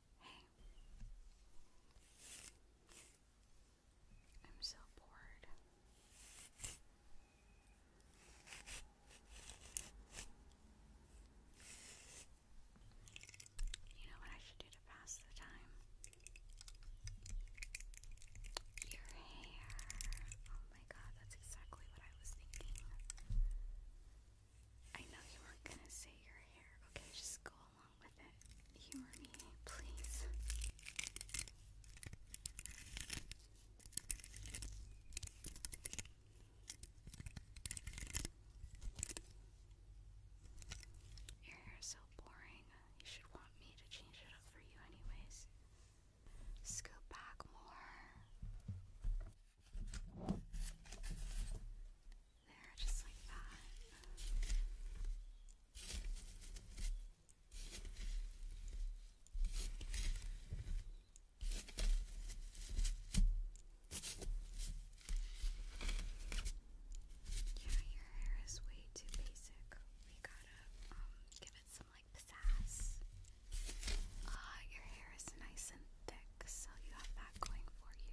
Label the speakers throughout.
Speaker 1: Hey. I'm so bored. You know what I should do to pass the time? Your hair. Oh my god, that's exactly what I was thinking. I know you weren't gonna say your hair. Okay, just go your hair is so boring. You should want me to change it up for you, anyways. Scoop back more. There, Yeah, your hair is way too basic. We gotta um give it some like pizzazz. Ah, your hair is nice and thick, so you have that going for you.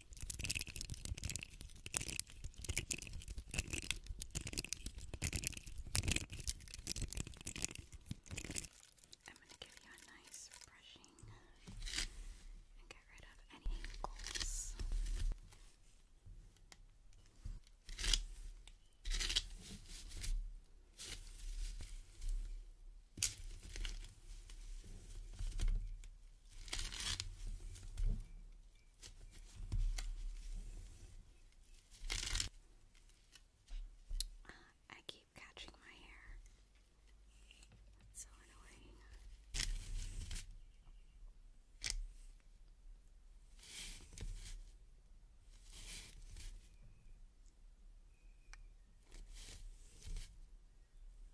Speaker 1: I'm going to give you a nice brushing and get rid of any wrinkles. Okay. Uh, I keep catching my hair. so annoying.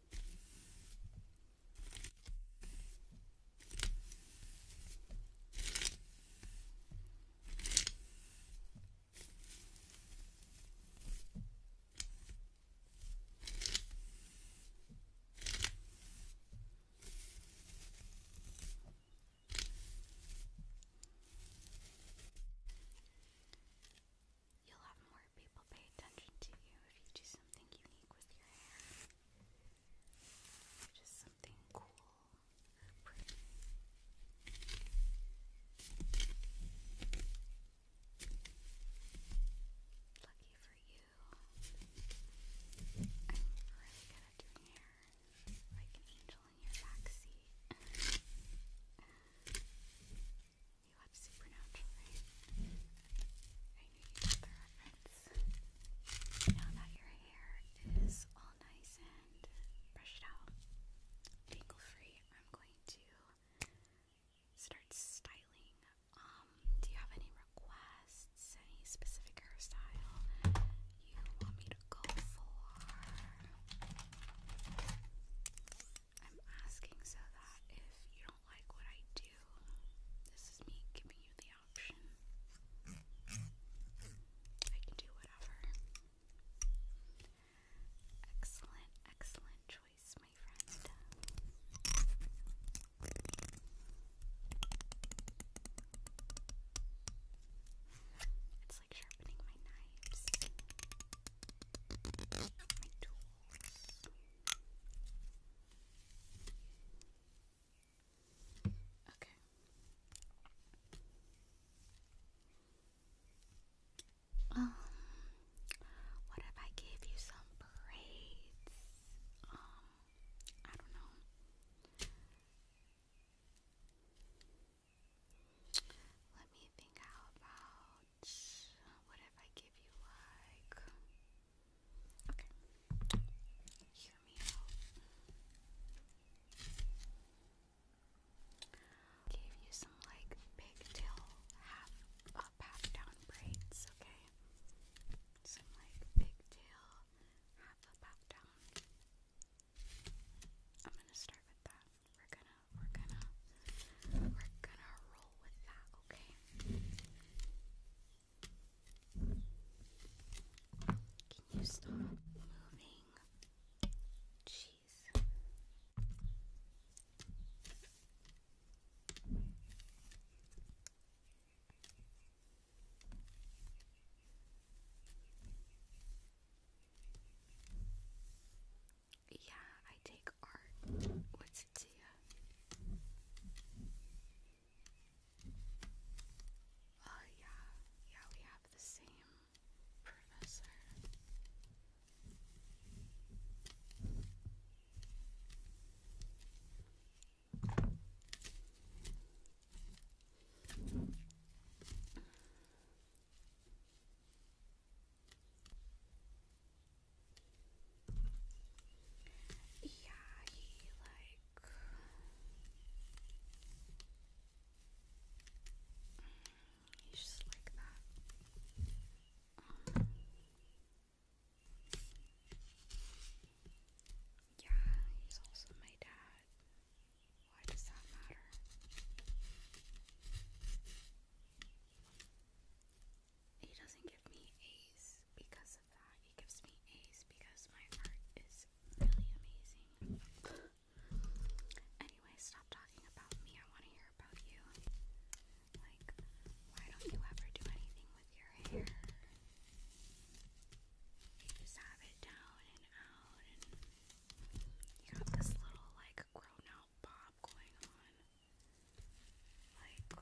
Speaker 1: You'll have more people pay attention to you if you do something unique with your hair. just something cool Lucky for you, I'm really good at doing hair. Like an angel in your backseat. You love Supernatural, right? I you got the reference. Now that your hair is all nice and brushed out, tangle free, I'm going to start styling. Um, do you have any requests? Any specific hairstyle you want me to go for? I'm asking so that if you don't do like what I do, this is me giving you the option. I can do whatever. Excellent, excellent choice, my friend. It's like sharpening my knives, my tools. Okay. Um, what if I gave you some braids? Um, I don't know. Let me think how about what if I give you like okay hear me out give you some like pigtail half up uh, half down braids okay some like pigtail half up half down I'm gonna start with that we're gonna we're gonna we're gonna roll with that, okay? Can you stop moving? Jeez. Yeah, I take art. What's it to you? Oh, yeah. Yeah, we have the same professor. Yeah, he like he's just like that. yeah, he's also my dad. Why does that matter? he doesn't give me A's because of that. He gives me A's because my art is really amazing. anyway, stop talking about me. I want to hear about you. Like, why don't you ever do anything with your hair? You just have it down and out, and you got this little, like, grown out bob going on. Like,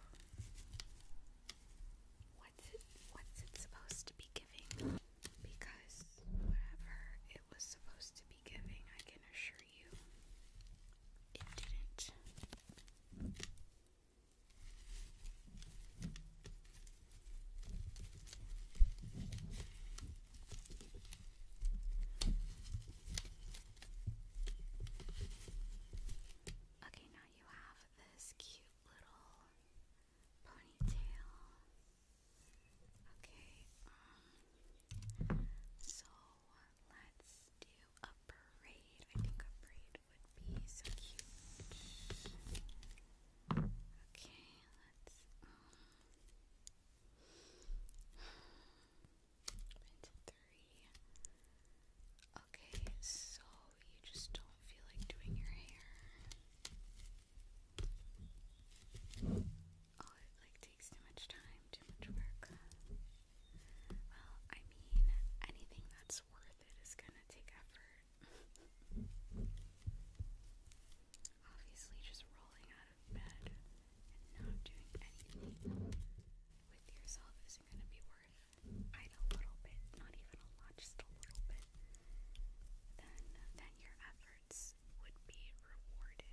Speaker 1: what's it, what's it supposed to be giving? Because whatever it was supposed to be giving, I can assure you, it didn't. Okay, now you have this cute little ponytail. Okay, um, so let's do a braid. I think a braid would be so cute. Okay, let's, um, into Okay, so you just don't feel like doing your hair. Oh, it like takes too much time, too much work. Well, I mean, anything that's worth it is gonna take effort. Obviously, just rolling out of bed and not doing anything with yourself isn't going to be worth it a little bit, not even a lot, just a little bit, then then your efforts would be rewarded.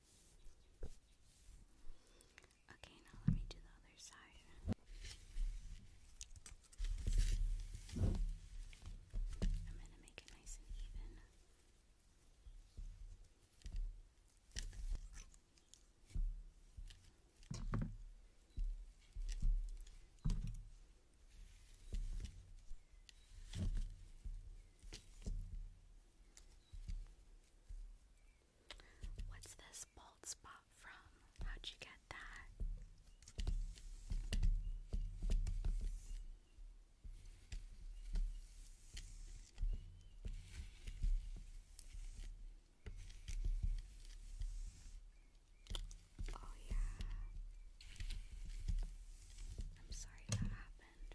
Speaker 1: Okay, now let me do the other side. I'm going to make it nice and even. What's this bald spot from? How'd you get that? Oh, yeah. I'm sorry that happened.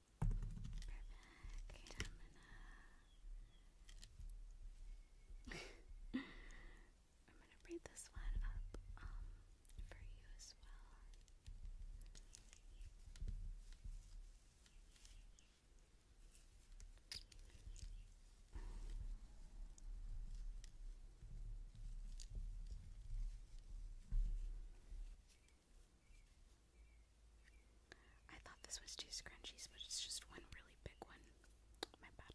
Speaker 1: Perfect. I'm gonna braid this one up um, for you as well. I thought this was two scrunchies, but it's just one really big one. My bad.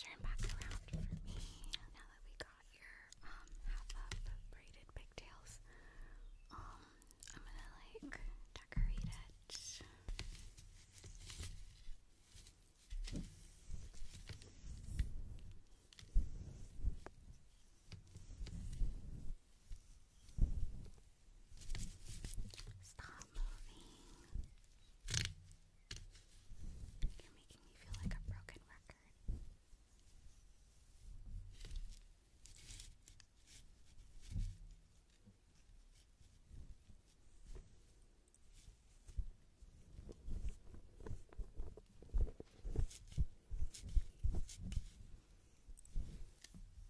Speaker 1: Turn back around for me now that we got your um, half up braided pigtails. Um, I'm gonna like decorate it. Stop moving. You're making me feel like a broken record.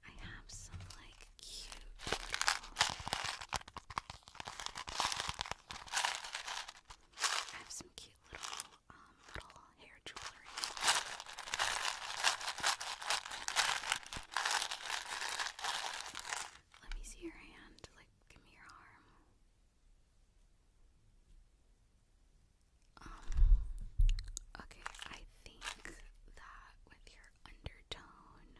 Speaker 1: I have some like cute little I have some cute little um little hair jewelry. Let me see your hand. Like give me your arm. Um, okay, I think that with your undertone.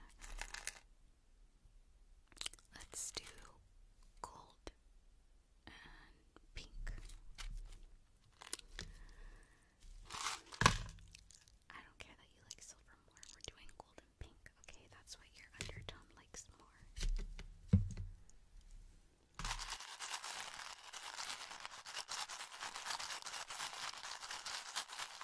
Speaker 1: Let's do gold and pink. I don't care that you like silver more. We're doing gold and pink. Okay, that's what your undertone likes more.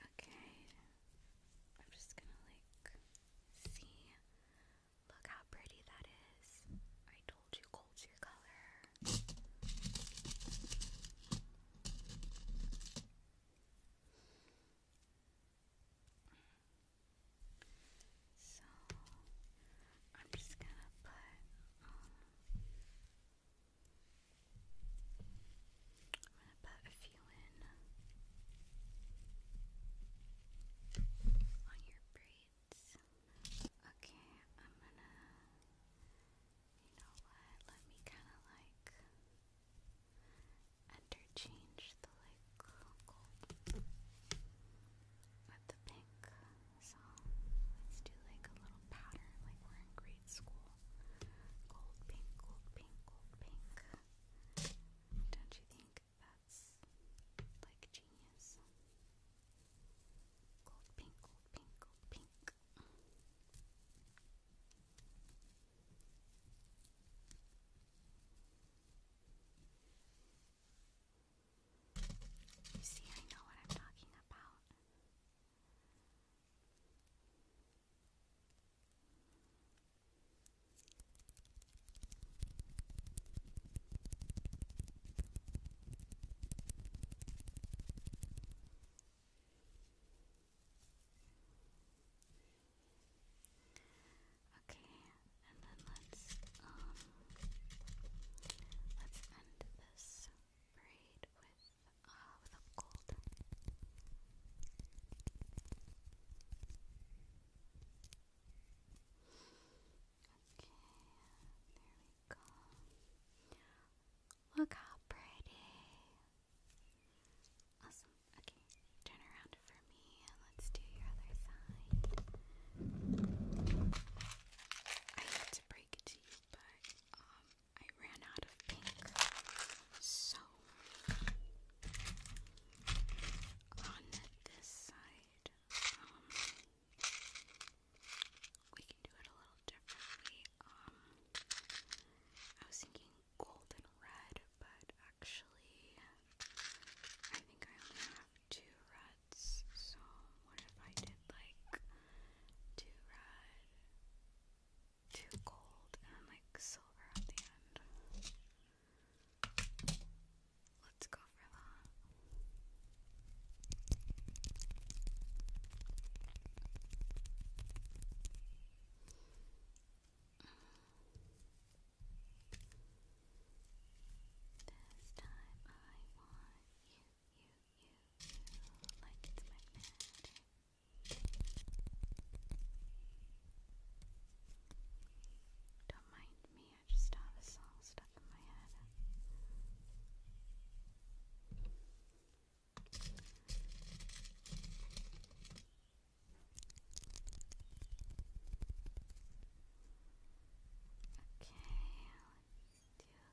Speaker 1: Okay, I'm just gonna like see. Look how pretty that is. I told you gold's your color. So I'm just gonna put um, I'm going to put a few in on your braids. Okay, I'm going to, you know what, let me kind of like interchange the like gold with the pink. So let's do like a little pattern like we're engraving grade school. Gold pink, gold pink, gold pink. Don't you think that's like genius? Gold pink, gold pink, gold pink. You see, I know what I'm talking about. Okay, and then let's um let's end this braid with uh, with a Okay, there we go. Look how pretty. Awesome. Okay, turn around for me let's do your other side. I hate to break it to you, but um, I ran out of pink. So, on this side, um, we can do it a little differently. Um, I was thinking gold red, but actually, I think I only have two reds. So, what if I did like two red, too gold and like silver at the end. Let's go for that. This time I want you, you Don't mind me, I just have a song stuck in my head. Okay,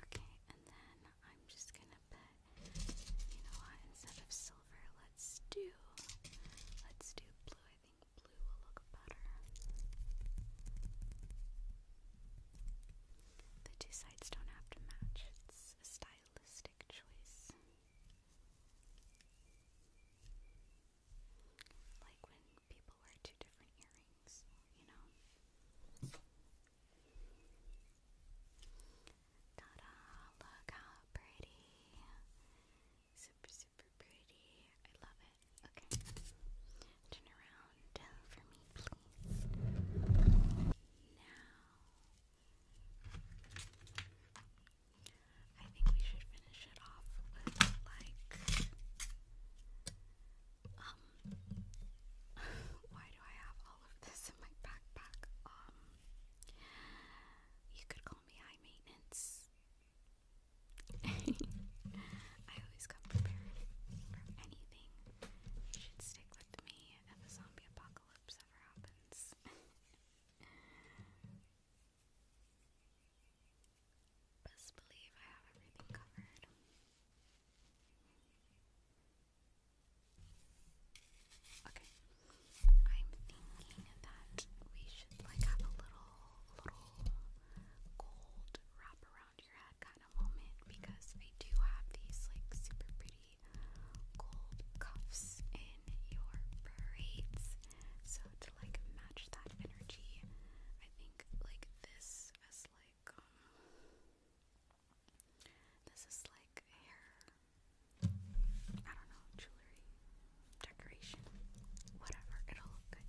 Speaker 1: Okay, and then I'm just gonna put, you know what, instead of silver, let's do, let's do blue. I think blue will look better. The two sides don't have to match, it's a stylistic choice. Like when people wear two different earrings, you know? Ta da! Look how pretty! Super, super pretty. I love it. Okay. Turn around for me, please. Now, I think we should finish it off with like um, why do I have all of this in my backpack? Um, you could call me high maintenance. I always come prepared for anything. You should stick with me if a zombie apocalypse ever happens. Best believe I have everything covered. Okay, I'm thinking that we should like have a little, little gold wrap around your head kind of moment because I do have these like super pretty gold cuffs in your braids. So to like match that energy, I think like this as like um, this is like hair I don't know, jewelry, decoration, whatever, it'll look good.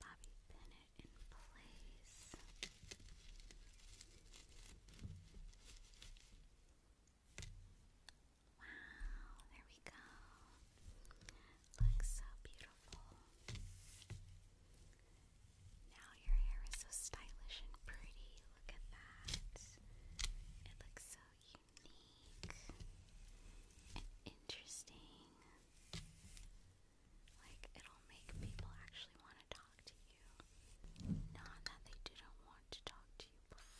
Speaker 1: Bobby Bennett in place. Wow, there we go. Looks so beautiful. Now your hair is so stylish and pretty. Look at that. It looks so unique and interesting. Like, it'll make people actually want to talk to you. Not that they didn't want to talk to you before.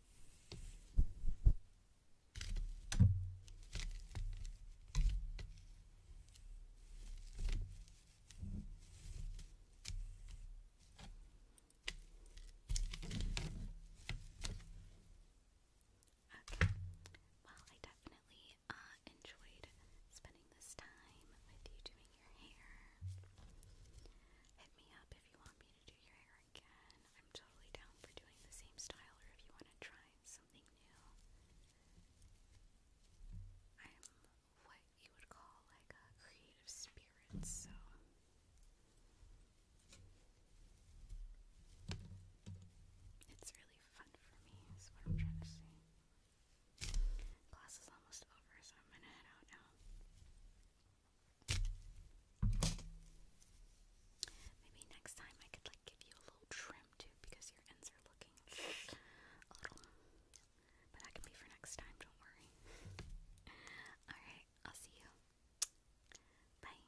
Speaker 1: Okay. Well, I definitely uh, enjoyed spending this time with you doing your hair. Hit me up if you want me to do your hair again. I'm totally down for doing the same style or if you want to try something new. I'm what you would call like a creative spirit, so it's really fun for me, is what I'm trying to say. Class is almost over, so I'm gonna head out now. Maybe next time I could like give you a little trim too because your ends are looking a little. But that can be for next time, don't worry. Alright, I'll see you. Bye.